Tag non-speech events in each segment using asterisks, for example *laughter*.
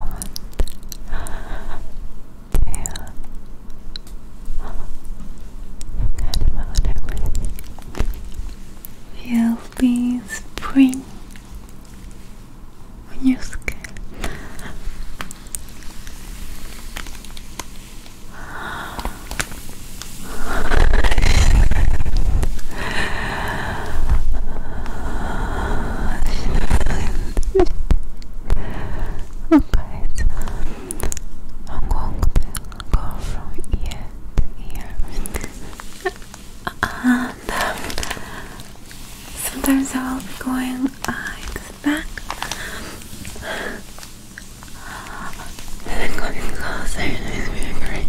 want to forget You'll be spring on your skin. Oh guys, I'm going to go from ear to ear and sometimes I will be going uh, the back closer and really great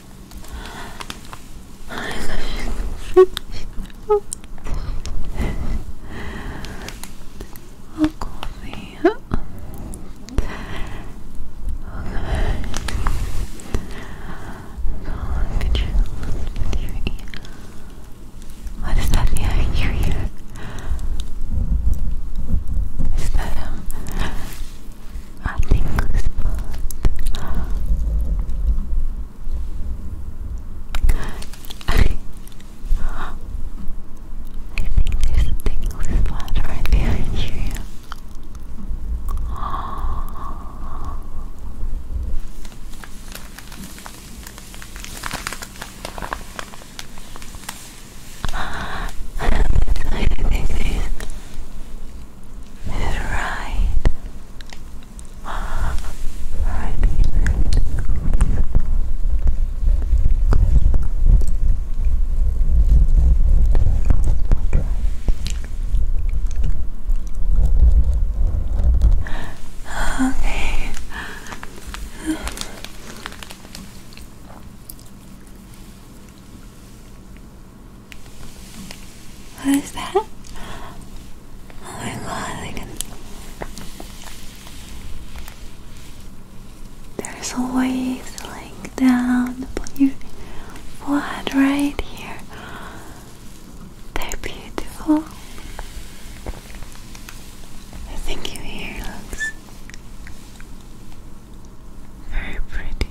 I'll coffee. Okay. So look at your, look at your What is that behind your ear? Is that um I think it's I, *laughs* I think there's a tingly spot right behind you. *gasps* *gasps* I this is Right. Okay. What is that? Oh my god, I can. There's waves like down upon your forehead right here. They're beautiful. I think your hair looks very pretty.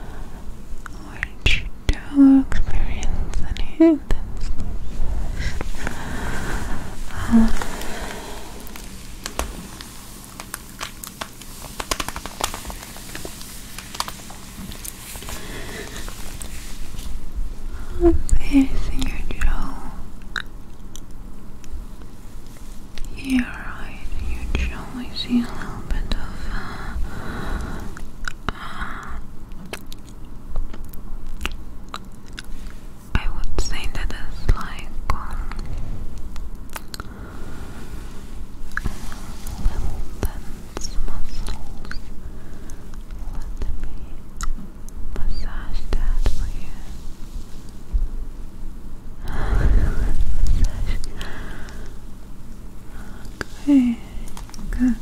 which do experience any intense um, this in your jaw yeah, right. You can only see a little bit of uh, I would say that it's like um, little dense muscles. Let me massage that for you. Okay, good. Okay. Good.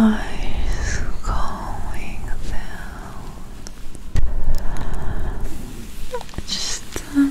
Eyes going down. Just um,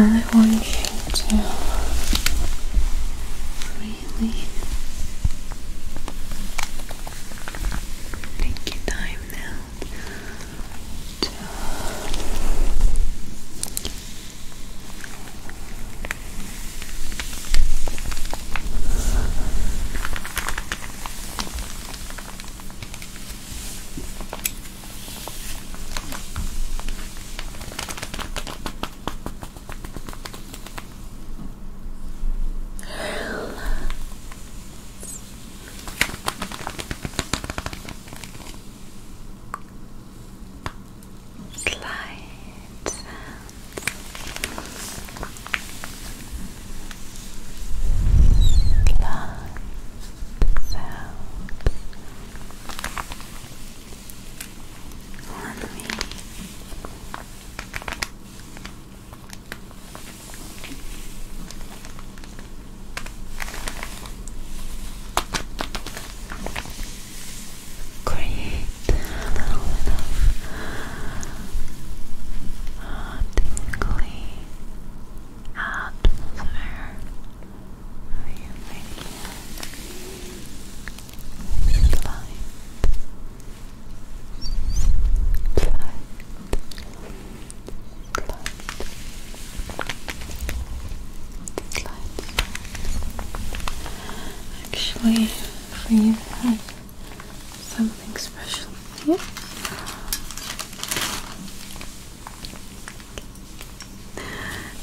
I want you to really take your time now Slide blood cells on me create a little bit of uh, atmosphere for you making it light, light, light, Actually for oh, you something special here.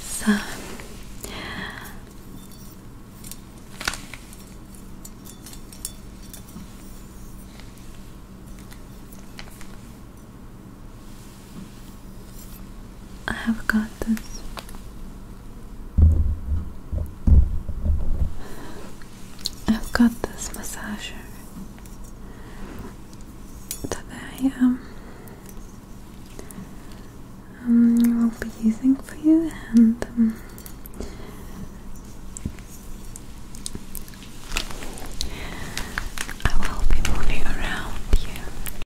So I have got this. I've got this massager today um, um will be using for you and um, I will be moving around you